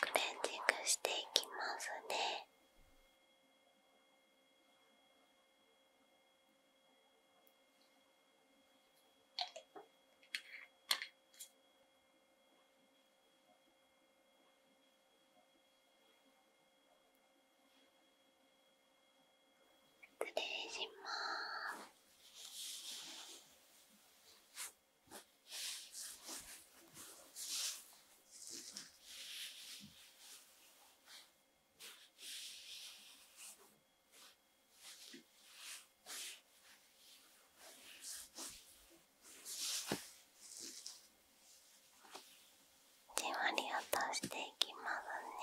クレンジングしていきますね。失礼します。じわり落としていきますね。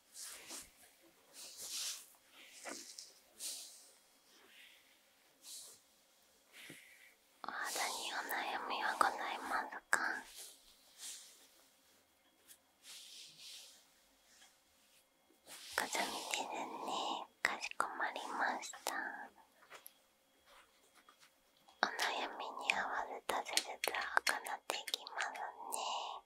お肌にお悩みはございますかお悩みに合わせた施術を行っていきますね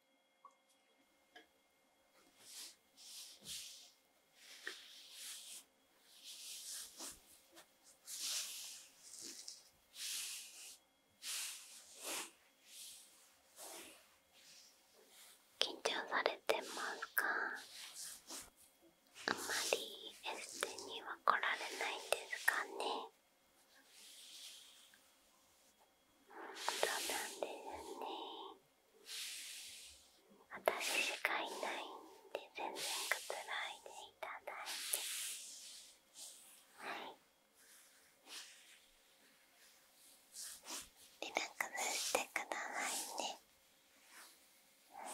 緊張されてますかあまりエステには来られないんですかねそうなんですね私しかいないんで全然くつろいでいただいてはいリラックスしてくださいねはい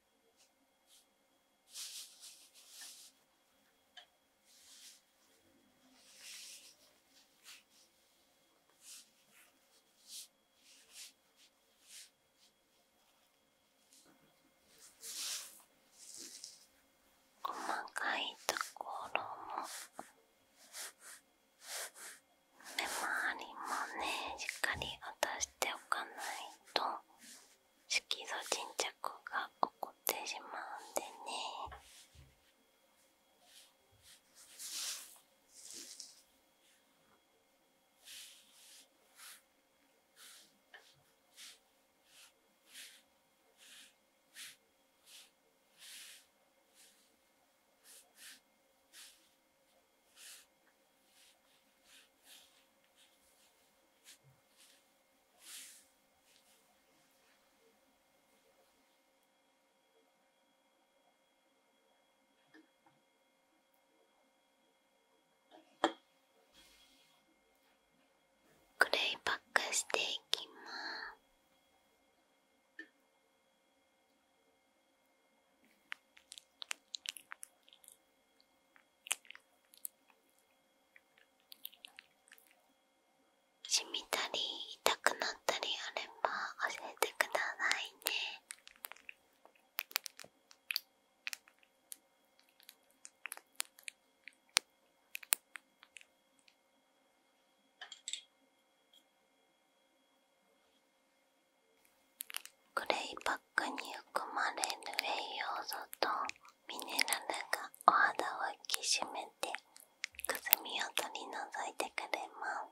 細かいところも目周りもねしっかり渡しておかないと。色素沈着が起こってしまうんでねクレイパックしていきます。しみたり痛くなったりあれば教えてくださいねグレイパックに含まれる栄養素とミネラルがお肌を引き締めてくすみを取り除いてくれます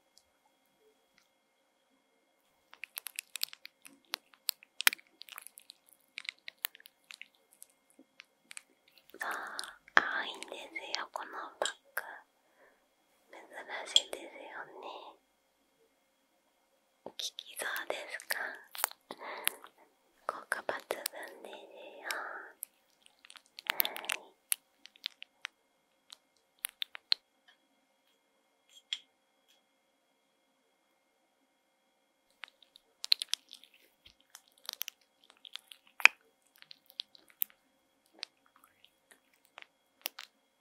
あそう青いんですよこのパック珍しいですよね聞きそうですか効果抜群ですよはい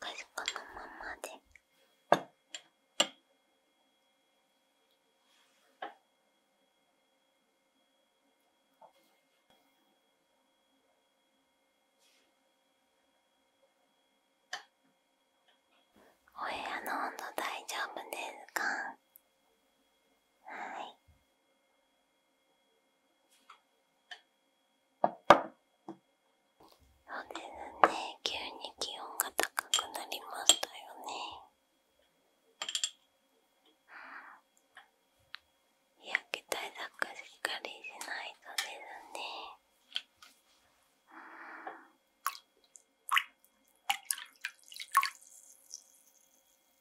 かしこのままで。お部屋の温度大丈夫ですかはい。そうですね、急に気温が高くなりましたよね。日焼け対策しっかりしないとですね。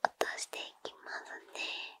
落としていきますね。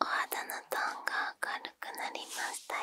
お肌のトーンが明るくなりましたよ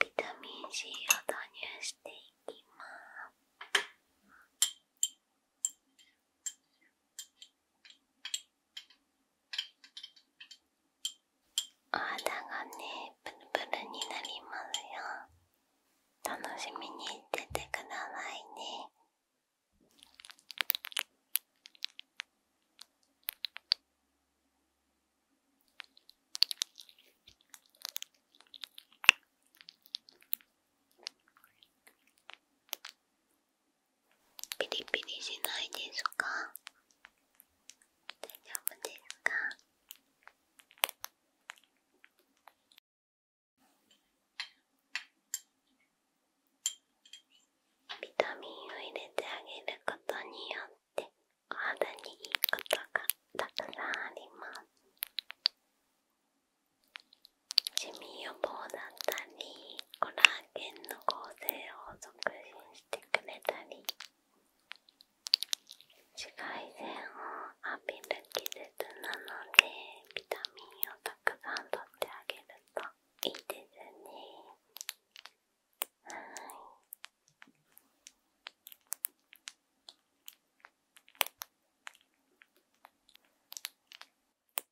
ビタミン C を投入していきます。お肌がねぷるぷるになりますよ楽しみにしててくださいねピリピリしないですか大丈夫ですかビタミンを入れてあげることによってお肌にいいことがたくさんありますシミ予防だったりコラーゲンの構成を促進してくれたり紫外線を浴びる季節なのでビタミンをたくさんとってあげるといいですねはい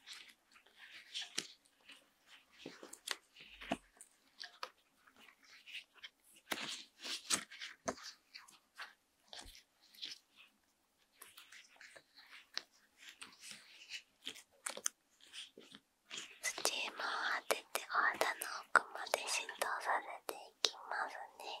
スチームを当ててお肌の奥まで浸透させていきますね。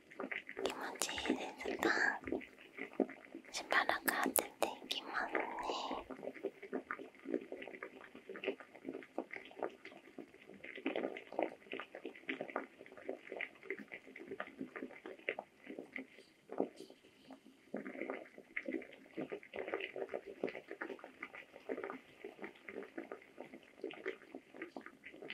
気持ちいいですしばらく当てていきますね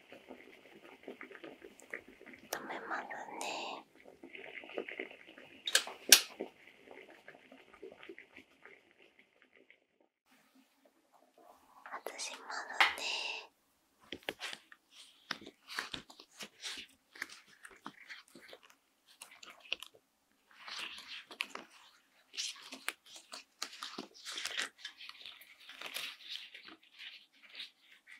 止めますね。外しますね。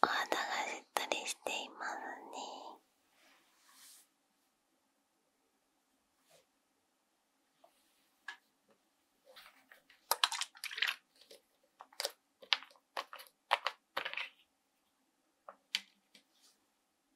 お肌がしっとりしていますね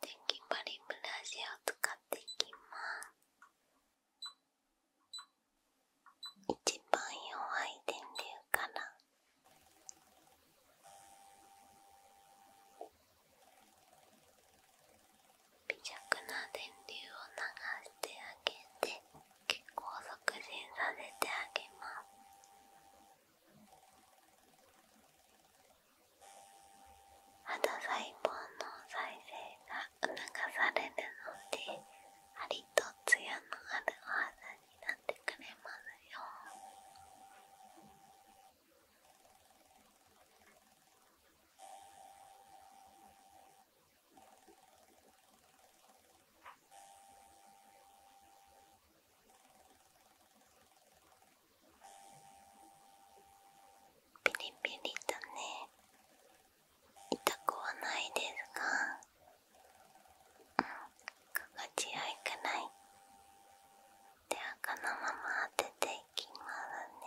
電気バリブラシを使っていきます一番弱い電流から微弱な電流を流してあげて血行促進させてあげます肌細胞の再生が促されるのでハリとツヤのあるお肌になってくれますよピリピリとね痛くはないですがうん心地よいくらいであかのまま当てていきますね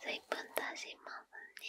水分出しますね。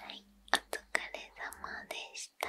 はい、お疲れ様でした。